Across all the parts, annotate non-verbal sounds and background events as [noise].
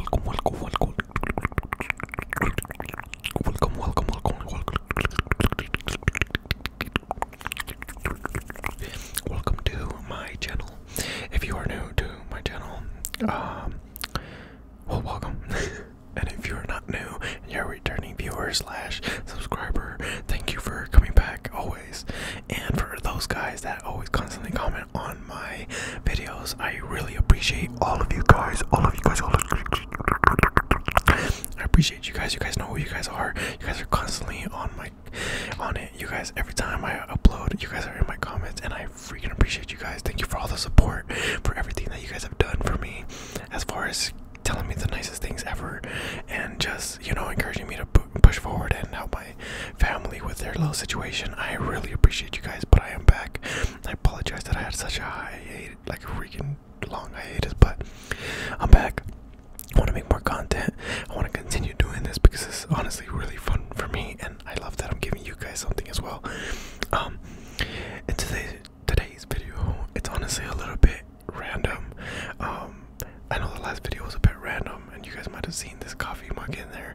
Welcome, welcome, welcome. Welcome, welcome, welcome, welcome. Welcome to my channel. If you are new to my channel, um, well, welcome. [laughs] and if you're not new and you're a returning viewer slash subscriber, thank you for coming back always. And for those guys that always constantly comment comment on my videos. I really appreciate all of you guys. All of you guys. All of you guys. I appreciate you guys. You guys know who you guys are. You guys are constantly on my on it. You guys every time I upload, you guys are in my comments and I freaking appreciate you guys. Thank you for all the support, for everything that you guys have done for me as far as telling me the nicest things ever and just, you know, encouraging me to push forward and help my family with their little situation. I really appreciate you guys, but I am back. I apologize that I had such a hiatus, like freaking long hiatus, but I'm back. I want to make more content. I want to continue doing this because it's honestly really fun for me, and I love that I'm giving you guys something as well. Um, in today's today's video, it's honestly a little bit random. Um, I know the last video was a bit random, and you guys might have seen this coffee mug in there.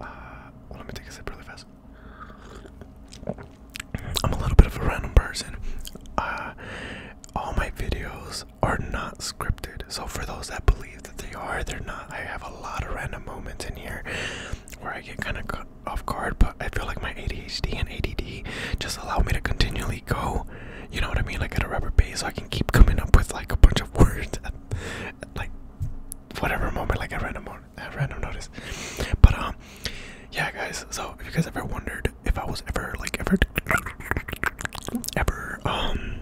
Uh, let me take a sip really fast. I'm a little bit of a random person. Uh, all my videos are not scripted. So for those that believe that they are, they're not. I have a lot of random moments in here where I get kind of cut off guard, but I feel like my ADHD and ADD just allow me to continually go. You know what I mean? Like at a rubber band, so I can keep coming up with like a bunch of words, [laughs] at, like whatever moment, like a random moment, a random notice. But um, yeah, guys. So if you guys ever wondered if I was ever like ever, ever um,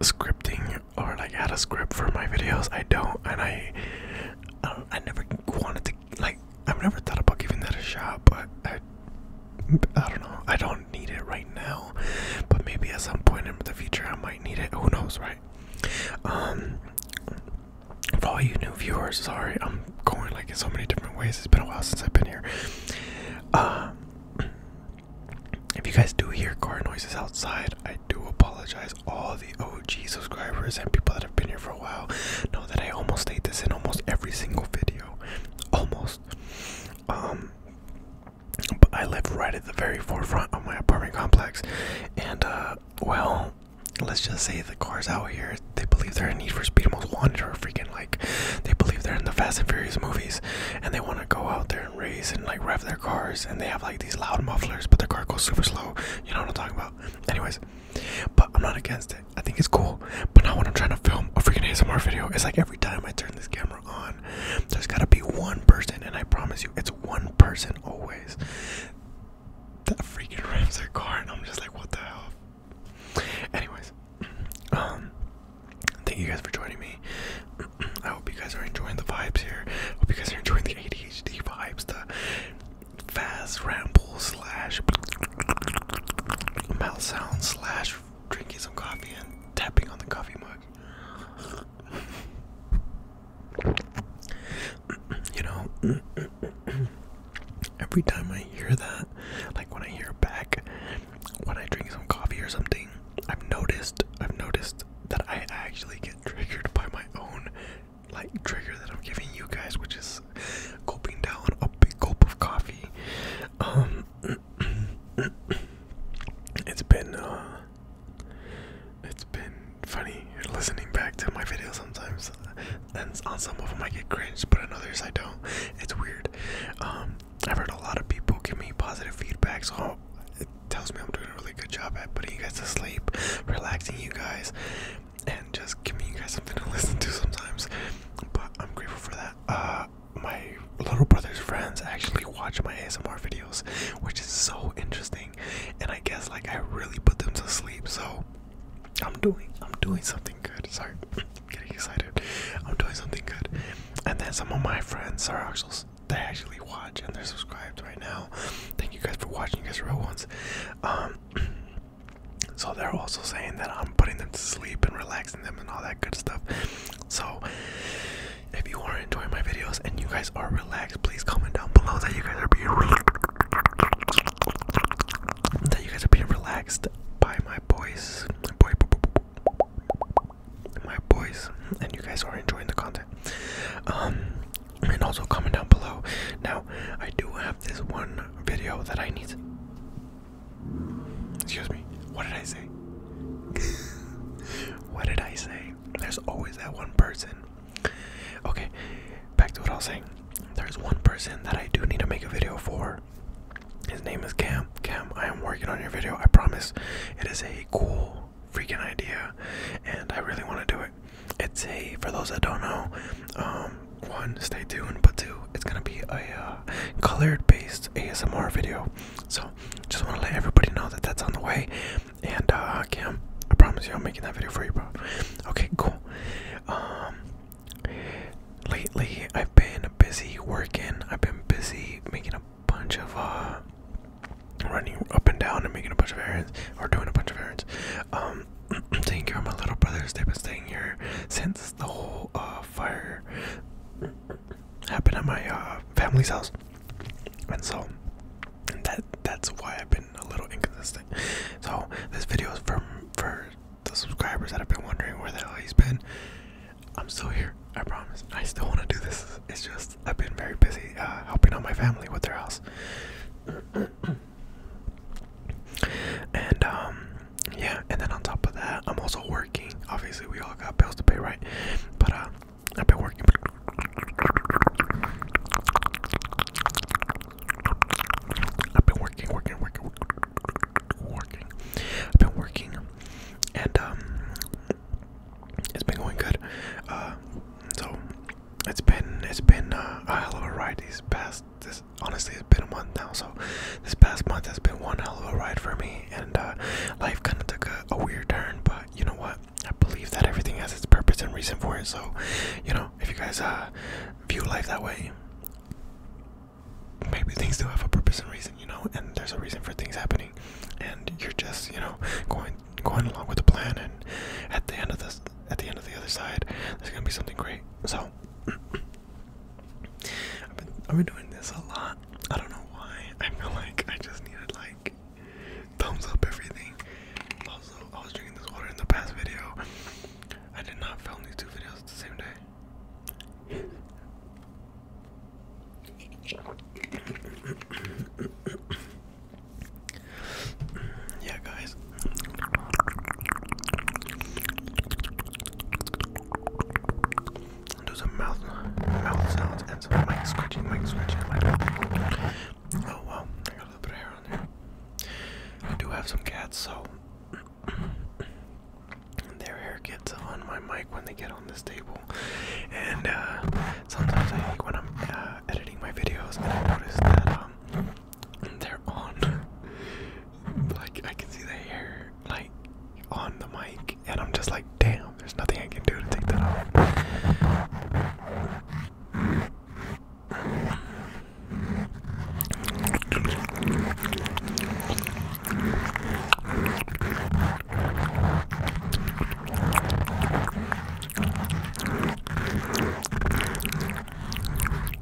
scripting or like had a script for my videos, I don't, and I, um, I never wanted to like. I've never thought about giving that a shot, but I don't know. I don't do need it right now, but maybe at some point in the future I might need it. Who knows, right? Um, for all you new viewers, sorry, I'm going like in so many different ways. It's been a while since I've been here. Um, if you guys do hear car noises outside, I do apologize. All the OG subscribers and people that have been here for a while know that I almost state this in almost every single video. Almost. Um, but I live right at the very forefront of my apartment complex, and uh, well, let's just say the cars out here they believe they're in Need for Speed Most Wanted or freaking like they believe they're in the Fast and Furious movies, and they want to go out there and race and like rev their cars, and they have like these loud mufflers, but their car goes super slow. You know what I'm talking about? Anyways, but I'm not against it. I think it's cool. But now when I'm trying to film a freaking ASMR video, it's like every time I turn this camera there's gotta be one person, and I promise you, it's one person always that freaking [laughs] rams their car, and I'm just like, what the hell? Anyways, [clears throat] um, thank you guys for joining me. [clears throat] I hope you guys are enjoying the vibes here. I hope you guys are enjoying the ADHD vibes, the fast ramble slash [laughs] mouth sound slash drinking some coffee and tapping on the coffee mug. [clears throat] you know, [clears throat] every time I hear that, like when I hear back, when I drink some coffee or something, I've noticed, I've noticed that I actually get triggered by my own like trigger that I'm giving you guys, which is gulping down a big gulp of coffee. Um, [coughs] it's been uh, it's been funny listening back to my videos sometimes uh, and on some of them I get cringed but on others I don't it's weird um, I've heard a lot of people give me positive feedback so it tells me I'm doing a really good job at putting you guys to sleep relaxing you guys and just giving you guys something to [laughs] listen to sometimes but I'm grateful for that uh, my little brother's friends actually watch my ASMR videos, which is so interesting. And I guess like I really put them to sleep. So I'm doing I'm doing something good. Sorry, I'm [clears throat] getting excited. I'm doing something good. And then some of my friends are actually they actually watch and they're subscribed right now. Thank you guys for watching, you guys are real ones. Um [clears throat] so they're also saying that I'm putting them to sleep and relaxing and them and all that good stuff. So if you are enjoying my videos and you guys are relaxed, please comment down below that you guys are being that you guys are being relaxed by my boys, my boy, my boys, and you guys are enjoying the content. Um, and also comment down below. Now I do have this one video that I need. Excuse me. What did I say? [laughs] what did I say? There's always that one person. Okay, back to what I was saying. There's one person that I do need to make a video for. His name is Cam. Cam, I am working on your video. I promise. It is a cool freaking idea, and I really want to do it. It's a for those that don't know, um, one, stay tuned, but two, it's gonna be a uh, colored-based ASMR video. So, just want to let everybody know that that's on the way. And uh, Cam, I promise you, I'm making that video for you, bro. Okay, cool. Um, lately, I've been busy working. I've been busy making a bunch of uh, running up and down and making a bunch of errands or doing a bunch of errands. Um, [clears throat] taking care of my little brothers. They've been staying here since the whole uh, fire happened at my uh, family's house, and so that that's why I've been a little inconsistent. So this video is from for the subscribers that have been wondering where the hell he's been. I'm still here. I promise. I still want to do this. It's just I've been very busy uh, helping out my family with their house. [clears throat] and um yeah, and then on top of that, I'm also working. Obviously, we all got bills to pay, right? But uh, I've been working. I've been working, working, working, working. I've been working, and um, it's been going good. Uh, so it's been it's been uh, a hell of a ride these past this honestly it's been a month now, so this past month has been one hell of a ride for me, and uh, life kind of took a, weird turn. But you know what? I believe that everything has its purpose and reason for it. So, you know, if you guys uh, view life that way, maybe things do have a purpose and reason. You know, and there's a reason for things happening, and you're just you know going going along with the plan. And at the end of this, at the end of the other side, there's gonna be something great. So. [clears throat] I've been, doing this a lot. I don't know why. I feel like I just needed like thumbs up everything. Also, I was drinking this water in the past video. I did not film these two videos at the same day. [coughs] yeah, guys i do some mouth, mouth sounds and some mic scratching, mic scratching. Oh wow, I got a little bit of hair on there. I do have some cats, so [clears throat] their hair gets on my mic when they get on this table. And uh, sometimes I think when I'm uh, editing my videos, and I notice that um, they're on. like I can see the hair like on the mic, and I'm just like, damn, there's nothing I can do to take that off.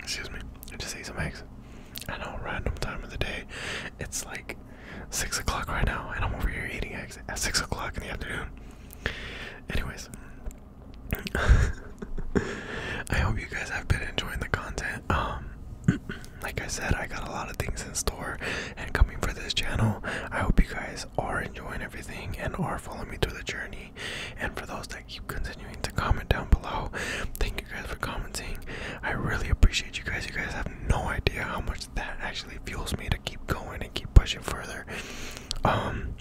Excuse me. I just ate some eggs. I know, random time of the day. It's like six o'clock right now, and I'm over here eating eggs at six o'clock in the afternoon. Anyways, [laughs] I hope you guys have been enjoying the content. Um, [clears throat] like I said, I got a lot of things in store and coming for this channel. I hope you guys are enjoying everything and are following me through the journey. And for those that keep continuing to comment down below, thank you guys for commenting. I really appreciate you guys. You guys have no idea how much that actually fuels me to keep going and keep pushing further. Um,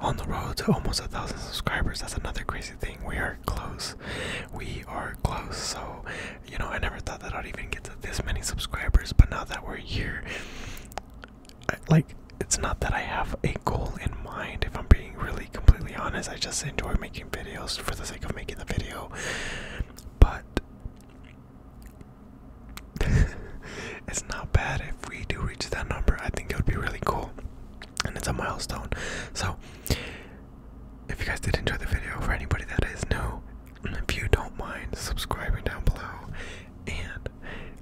on the road to almost a thousand subscribers. That's another crazy thing. We are close. We are close. So you know, I never thought that I'd even get to this many subscribers, but now that we're here, I, like, it's not that I have a goal in mind, if I'm being really completely honest. I just enjoy making videos for the sake of making the video, but [laughs] it's not bad if we do reach that number. I think it would be really cool, and it's a milestone. So, if you guys did enjoy the video, for anybody that is new, if you don't mind subscribing down below and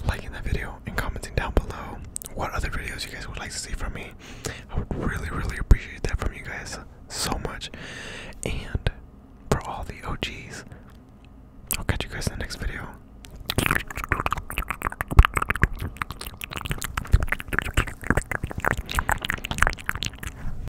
liking that video and commenting down below what other videos you guys would like to see from me, I would really, really appreciate that from you guys so much. And for all the OGs, I'll catch you guys in the next video.